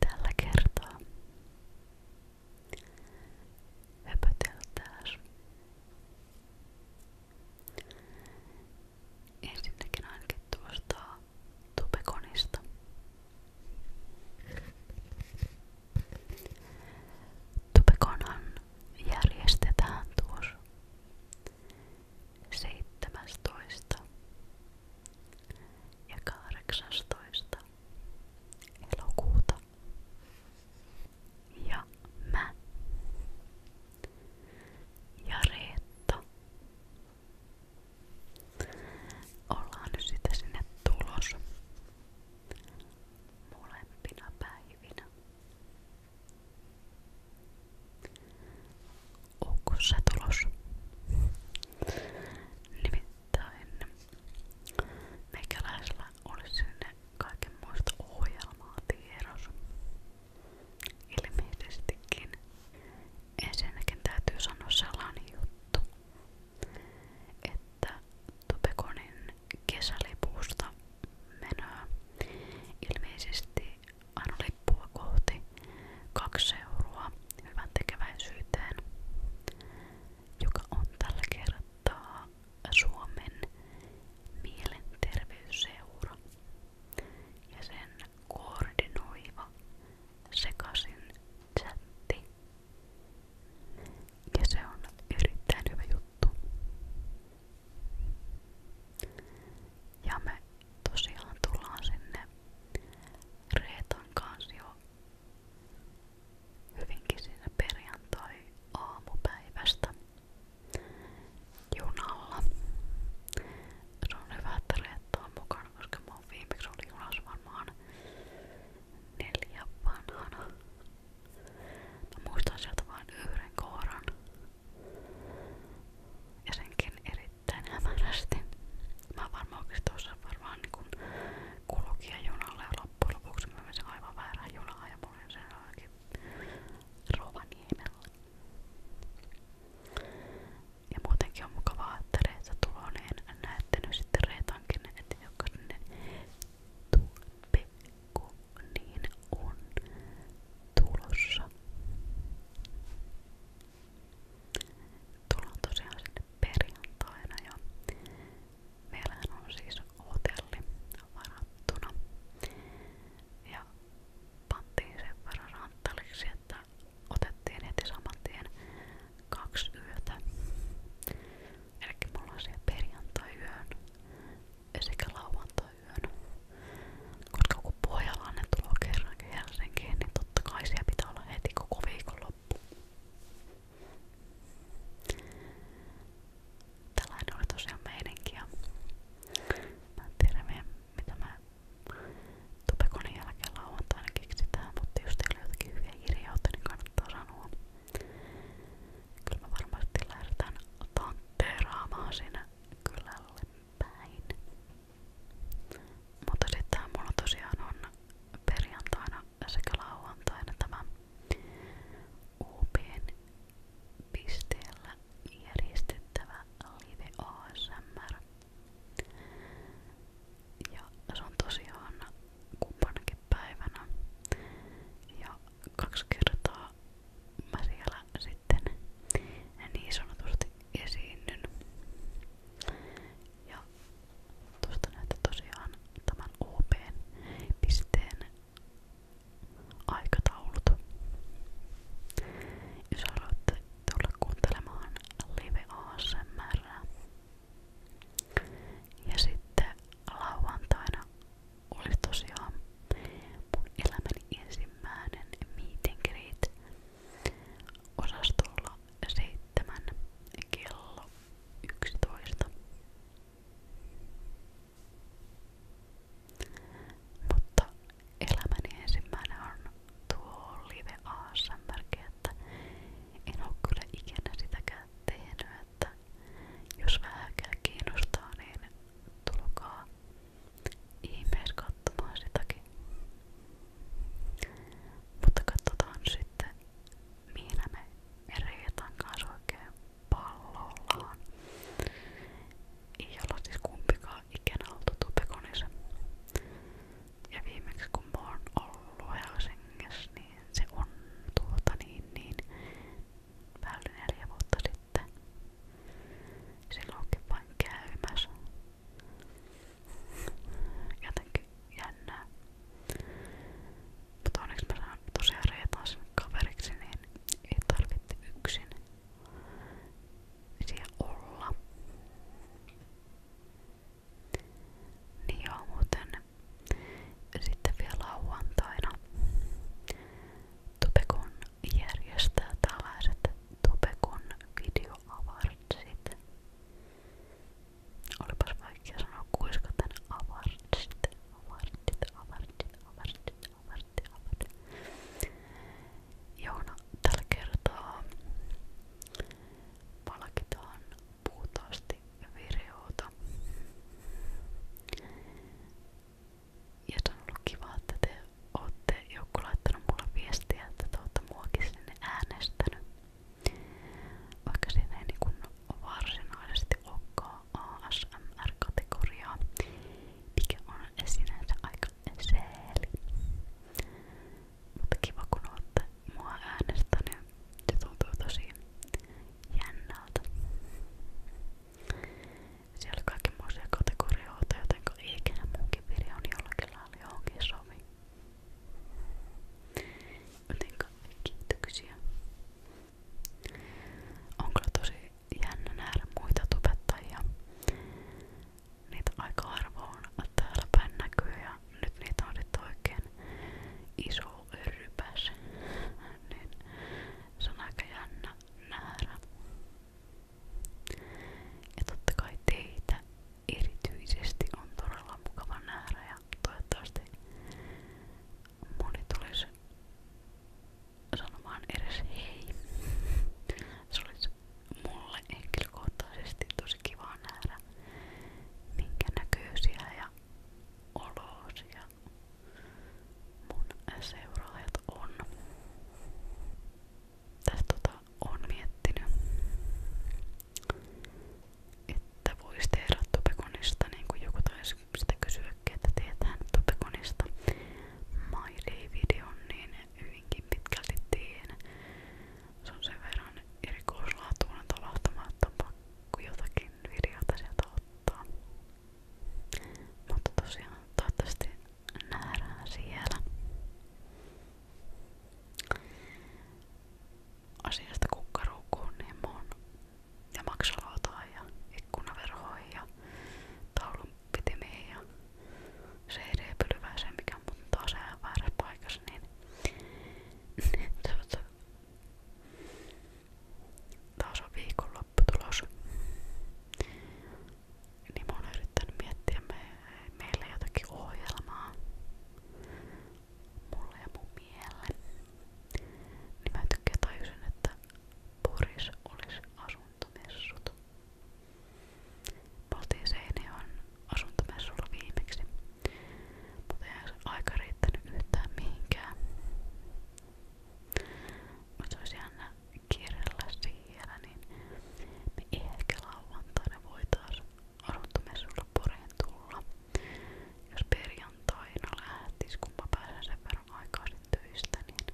Tällä kertaa höpöteltään Ensinnäkin ainakin tuosta tupekonista. Tupekonhan järjestetään tuossa 17 ja 18 elokuuta. Ja mä ja Reetta. Ollaan nyt sitä sinne tulos molempina päivinä. Onko se tulos? Nimittäin meikäläisellä oli sinne kaikenmoista ohjelmaa tiedossa. Ilmeisestikin. Ensinnäkin täytyy sanoa sellainen juttu, että Topekonin kesälipusta menöä ilmeisesti aina lippua kohti kaksi euroa hyvän tekeväisyyteen, joka on tällä kertaa Suomen mielenterveysseura ja sen koordinoiva sekasin chatti. Ja se on erittäin hyvä juttu. Ja me tosiaan tullaan sinne Reetan kanssa jo hyvinkin siinä perjantai-aamupäivästä junalla. Se on hyvä, että Reetta on mukana, koska mä oon viimeksi oli junassa varmaan neljä vanhana. Mä muistan sieltä vain yhden kohdan. Ja senkin erittäin hämärästi. Mä varmaan oikeesti tuossa varmaan niin kulkia junalle ja loppujen lopuksi mä menin aivan väärään junaan ja mulla oli sen Rovaniemellä. Ja muutenkin on mukavaa, että Reetta Tuloneen niin näette nyt sitten Reetankin, että jokainen tulpikku niin on tulossa. Tullaan tosiaan sinne perjantaina ja meillähän on siis hotelli varattuna ja pantiin sen verran ranttaliksi, että otettiin heti saman tien kaksi yötä. Eli me ollaan siellä perjantai-yön sekä lauantai-yön. Koska kun Pohjalainen tulee kerrankin Helsinkiin, niin totta kai siellä pitää olla heti koko viikonloppu. Tällainen oli tosiaan meininki ja mä en tiedä mitä mä Tupekonin jälkeen lauantaina keksitään, mutta jos teillä on jotakin hyviä kirjautta, niin kannattaa sanoa. Kyllä mä varmasti lähdetään tantteeraamaan siinä kylälle päin. Mutta sitten mulla tosiaan on perjantaina sekä lauantaina tämä Uupien pisteellä järjestettävä live ASMR. Ja se on tosiaan kumpanakin päivänä. Ja kaksi kertaa mä siellä sitten niin sanotusti esiinnyn. Ja tuosta näette tosiaan tämän OP-pisteen aikataulut. Jos haluatte tulla kuuntelemaan Live ASMR. Ja sitten lauantaina oli tosiaan mun elämäni ensimmäinen meet and greet osastolla 7 kello 11. Mutta elämäni ensimmäinen on tuo live ASMRkin, että en oo kyllä ikinä sitäkään tehnyt, että jos vähänkään kiinnostaa, niin tulkaa ihmeessä katsomaan sitäkin. Mutta katsotaan sitten, mihin me Reetan kanssa oikein pallollaan. Ei olla siis kumpikaan ikinä oltu Tupekonissa. Ja viimeksi kun mä oon ollut Helsingissä, niin se on tuota niin niin vähän neljä vuotta sitten. Silloinkin vain käymässä. Jotenkin jännää. Mutta onneksi mä saan tosiaan Reetan sinne kaveriksi, niin ei tarvitse yksin siellä olla. Niin joo, muuten sitten vielä lauantaina Tupekon järjestää tällaiset Tupekon videoavartsit. Olipas vaikea sanoa kuiskaten avartsit, avartsit, avartsit. Overtit, overtit, overtit. Joona, tällä kertaa palkitaan puhtaasti videota. Ja se on ollut kiva, että te ootte joku laittanut mulle viestiä, että te ootte muakin sinne äänestänyt. Vaikka siinä ei niin varsinaisesti olekaan ASMR-kategoriaa, mikä on sinänsä aika sääli. Mutta kiva kun olette mua äänestänyt, se tuntuu tosi jännältä. Siellä oli kaikenmoisia kategorioita, jotenka ei ikinä munkin videoni jollakin lailla johonkin sovi. Jotenka kiitoksia on kyllä tosi jännä nähdä muita tubettajia. Niitä aika harvoin täällä päin näkyy ja nyt niitä on sitten oikein iso rypäs. niin se on aika jännä nähdä. Ja totta kai teitä erityisesti on todella mukava nähdä ja toivottavasti moni tulisi sanomaan edes hei. Se olisi mulle henkilökohtaisesti tosi kiva nähdä minkä näköisiä ja olosia mun seuraajat on. Tästä tota on miettinyt, että että voisi tehdä Topekonista, niin kuin joku taisi sitä kysyäkin, että teetään Topekonista My Day-videon, niin hyvinkin pitkälti teen. Se on sen verran erikoislaatuinen tapahtuma, että on pakko jotakin videota sieltä ottaa. Mutta tosiaan toivottavasti nähdään siellä. Asiasta kukkaruukkuun, niin mä oon ja maksalautaa ja ikkunaverhoja ja taulunpitimiä ja CD-pylvääseen, mikä mun taas ihan väärässä paikassa, niin tuota, taas on viikonlopputulos. Niin mä oon yrittänyt miettiä me, meille jotakin ohjelmaa mulle ja mun miehelle, niin mä tykkään tajusin, että Poris olisi asuntomessut. Me oltiin Seinäjoen asuntomessulla viimeksi, mutta eihän se aika riittänyt yhtään mihinkään. Mutta se olisi jännä kierrellä siellä, niin me ehkä lauantaina voitaisiin asuntomessulla Poriin tulla. Jos perjantaina lähtis, kun mä pääsen sen verran aikaisin töistä, niin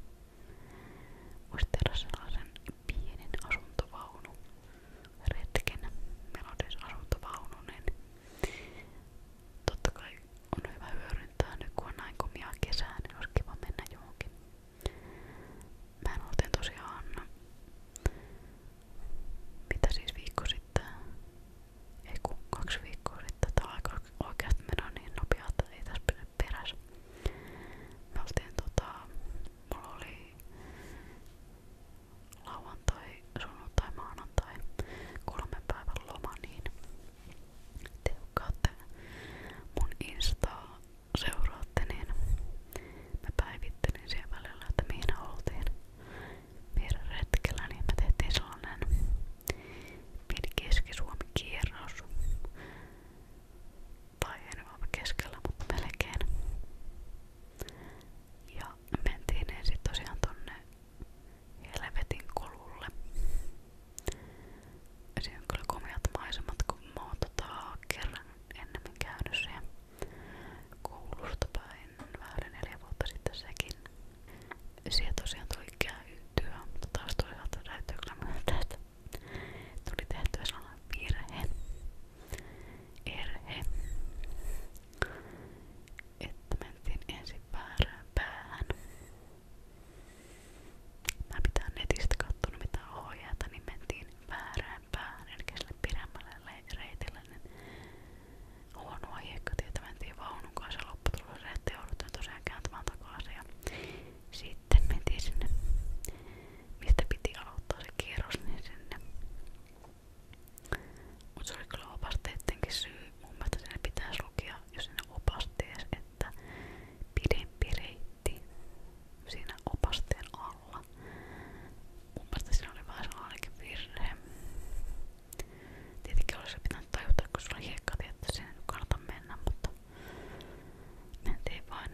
voisi tehdä sellaisen pienen asuntovaunu retken. Meillä on siis asuntovaunu, niin totta kai on hyvä hyödyntää nyt kun on näin komia kesää, niin olisi kiva mennä johonkin. Mä en oltiin tosiaan, mitä siis viikko sitten, ei kun kaksi viikkoa sitten tää aika oikeasti meno niin nopea, että ei tässä pysy perässä. Me oltiin tota, mulla oli lauantai, sunnuntai, maanantai kolmen päivän loma, niin teukkaatte mun instaa seuraatte, niin mä päivittelin siellä välillä, että mihin oltiin meidän retkellä, niin me tehtiin sellainen pieni Keski-Suomi kierros. Tai ei nyt ole keskellä, mutta melkein. Ja mentiin ensin tosiaan tonne Helvetin kolulle. Siinä on kyllä komeat maisemat, kun mä oon tota kerran ennemmin käynyt siellä koulusta päin olin vähän yli neljä vuotta sitten sekin. Siihen tosiaan tuli käytyä, mutta taas toisaalta täytyy kyllä myöntää, että tuli tehtyä sellainen virhe. Erhe. Että mentiin ensin väärään päähän. Mä pitää netistä kattonut mitä ohjeita, niin mentiin väärään päähän, eli sille pidemmälle reitille, niin huonoa hiekkatietä mentiin vaunun kanssa lopputulossa, ettei jouduttiin tosiaan kääntämään takaisin ja sitten mentiin sinne, mistä piti aloittaa se kierros, niin sinne. Mut se oli kyllä opasteidenkin syy, mun mielestä sinne pitäisi lukea jo sinne opasteessa, että pidempi reitti siinä opasteen alla. Mun mielestä siinä oli vähän sellainenkin virhe. Tietenkin olisi pitänyt tajuta, kun sulla oli hiekka, että sinne ei kannata mennä, mutta mentiin vain.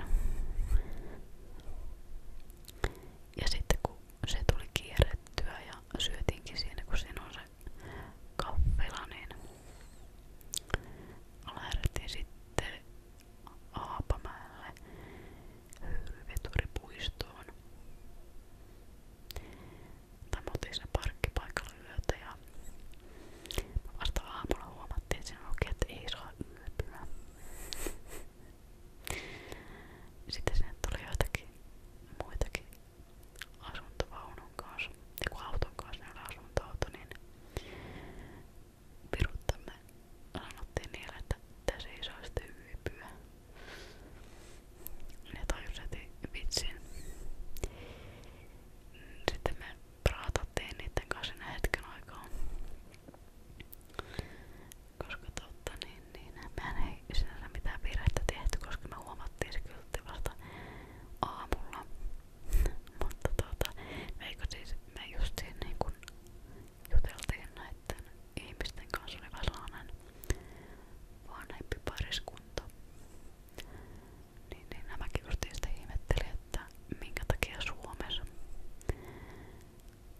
Ja sitten kun se tuli kierrettyä ja syötiinkin siinä, kun siinä on se kappila, niin lähdettiin sitten Aapamäelle höyryveturipuistoon. Tai me oltiin siinä parkkipaikalla yötä ja vasta aamulla huomattiin sen oikein, että ei saa yöpyä. Sitten sinne tuli joitakin muitakin asuntovaunun kanssa, joku niin auton kanssa ne niin oli asuntoauto, niin viruttamme sanottiin niille, että tässä ei saa sitten yöpyä. Ne tajus heti vitsin. Sitten me raatattiin niiden kanssa siinä hetken aikaa. Koska totta, niin, niin mehän ei sinänsä mitään virhettä tehty, koska me huomattiin se kyllä vasta aamulla. Mutta tuota, me, siis, me just siinä niin kun juteltiin näiden ihmisten kanssa, oli vähän sellainen vanhempi pariskunta. Niin, niin nämäkin justiin sitten ihmetteli, että minkä takia Suomessa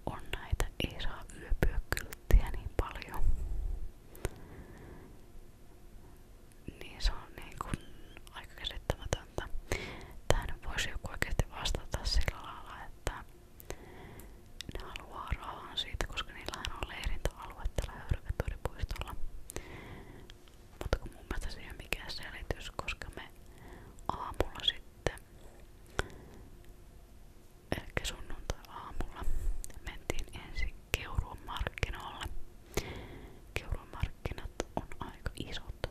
on näitä ei saa yöpyä kylttiä niin paljon. Niin se on niin kuin aika käsittämätöntä. Tähän voisi joku oikeasti vastata sillä lailla, että ne haluaa rahaa siitä, koska niillähän on leirintäalue tällä höyryveturipuistolla. Mutta kun mun mielestä se ei ole mikään selitys, koska me aamulla sitten, ehkä sunnuntai-aamulla, mentiin ensin Keuruun markkinoille. Keuruun markkinat on aika isot.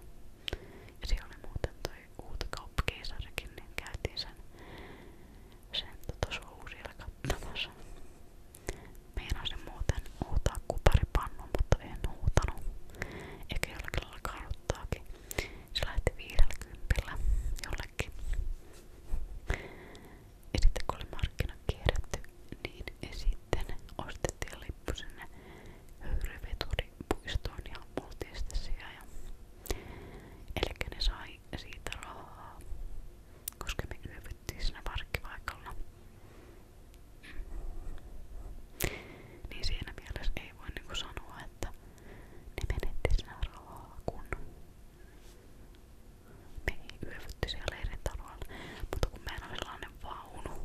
Ja siellä oli muuten toi uutakauppakeisarikin, niin käytiin sen sen tuossa uusilla kattomassa. Meinasin muuten huutaa kuparipannu, mutta en huutanut. Eikä jollakin lailla karuttaakin. Se lähti viidellä kympillä jollekin. Ja sitten kun oli markkina kierretty, niin sitten ostettiin lippu sinne höyryveturipuistoon ja oltiin sitten siellä ja Elikkä ne sai siitä rahaa, koska me yövyttiin siinä parkkipaikalla. Niin siinä mielessä ei voi niinku sanoa, että ne menetti siinä rahaa, kun me ei yövytti siellä leirintaloilla. Mutta kun meillä on sellainen vaunu,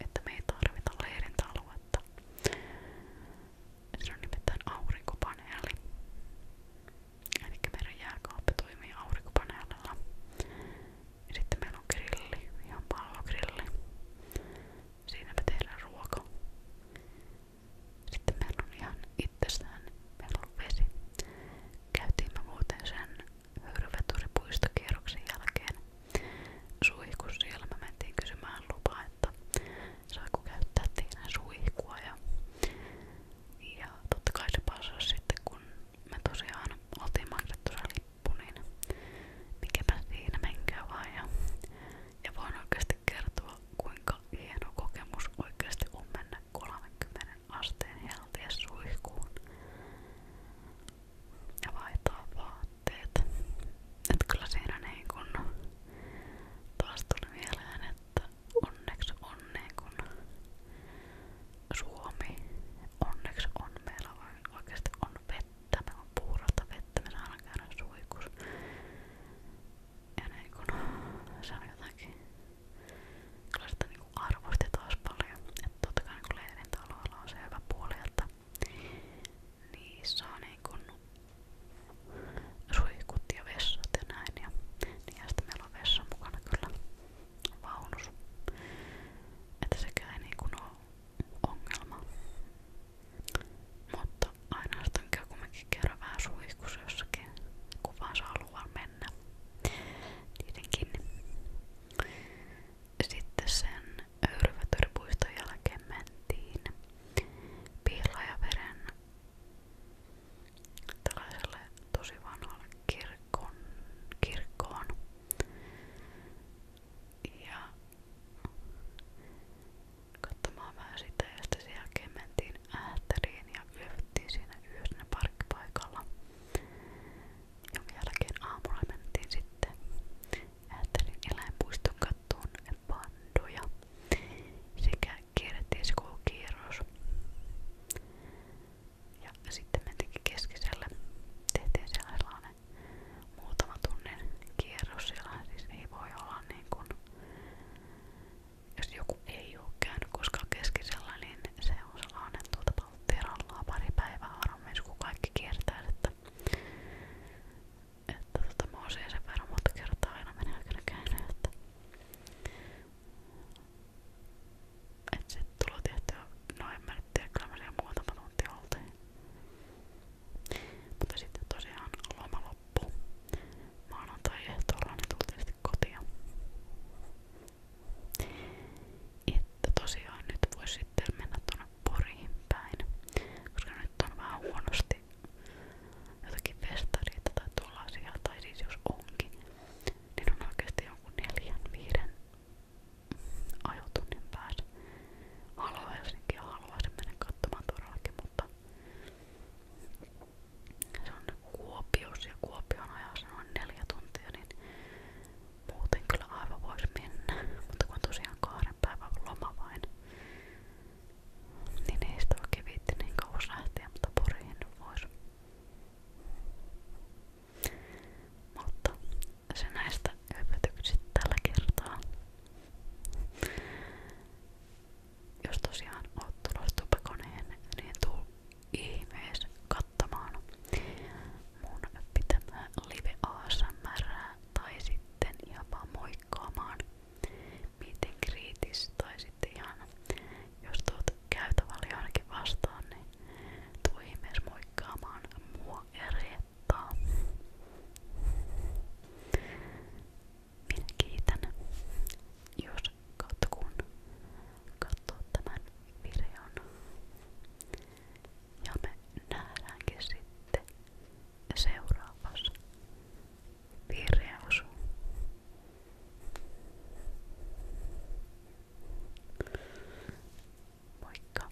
että me ei tarvita leirintaluetta, se on nimittäin aurinkopaneeli. Eli meidän jääkaappi toimii aurinkopaneelilla. Ja sitten meillä on grilli, ihan pallogrilli. Siinä me tehdään ruoka. Sitten meillä on ihan itsestään, meillä on vesi. Käytiin me muuten sen höyryveturipuistokierroksen jälkeen suihkussa, siellä me mentiin kysymään lupaa, että saako käyttää teidän suihkua ja, ja totta kai se passasi sitten kun me tosiaan oltiin maksettu se lippu, niin mikäpä siinä menkää vaan ja, ja voin oikeasti kertoa kuinka hieno kokemus oikeasti on mennä 30 asteen helteessä suihkuun ja vaihtaa vaan vaatteet. Et kyllä siinä niin kun taas tuli mieleen, että onneksi on niin kun Suomi, onneksi on meillä oikeasti on vettä, meillä on puurata vettä, me saadaan käydä suikus. Ja niin kun, se on jotakin, kyllä sitä niin arvosti taas paljon. Että totta kai niin leirintäalueella on se hyvä puoli, että niissä on niin kun suihkut ja vessat ja näin ja, ja sitten meillä on vessa mukana kyllä vaunus että sekään ei niin ole ongelma mutta aina sitten käy kumminkin kerran vähän suihkussa jossakin kun vaan saa luvan mennä tietenkin sitten sen Öyryvätöripuiston jälkeen mentiin Pihlajaveren tällaiselle tosi vanhalle kirkon, kirkkoon. Ja katsomaan vähän sitä ja sitten sen jälkeen mentiin Ähtäriin ja yövyttiin siinä yhdessä parkkipaikalla. Jonka jälkeen aamulla mentiin sitten Ääterin eläinpuiston kattoon pandoja sekä kierrätieskoulukierros. Ja sitten mentiinkin keskisellä. Tehtiin sellainen muutama tunnin kierros siellä. Siis ei voi olla niin kuin, jos joku ei ole käynyt koskaan keskisellä, niin se on sellainen tuota palttirallaa pari päivää varmaan, kun kaikki kiertää, että että tota, mä osin sen verran monta kertaa aina menee aikana käynyt, että et sit tulo tehtyä, no en mä nyt tiedä, kyllä mä siellä muutama tunti oltiin. Mutta sitten tosiaan loma loppu. Maanantai-ehtoolla niin tultiin sitten kotia. Että tosiaan nyt voi sitten mennä tuonne Poriin päin, koska nyt on vähän huonosti jotakin festareita tai tuollaisia, tai siis jos onkin, niin on oikeesti jonkun neljän, viiden ajotunnin päässä. Haluan Helsinkiä, haluaisin mennä katsomaan todellakin, mutta se on Kuopios ja Kuopion ajassa noin neljä tuntia, niin muuten kyllä aivan voisi mennä, mutta kun on tosiaan kahden päivän loma vain, niin ei sitä oikein viitti niin kauas lähteä, mutta poriin voisi. Mutta se näistä hypötyksistä tällä kertaa. Jos tosiaan oot tulossa tupakoneen, niin tuu ihmeessä katsomaan mun pitämää live ASMR tai sit sitten ihan vaan moikkaamaan miten kriitis tai sitten ihan jos tuot käytävällä ainakin vastaan niin tuu ihmeessä moikkaamaan mua ja Reettaa. Minä kiitän jos katkun katsoo tämän videon ja me nähdäänkin sitten seuraavassa videossa. Moikka!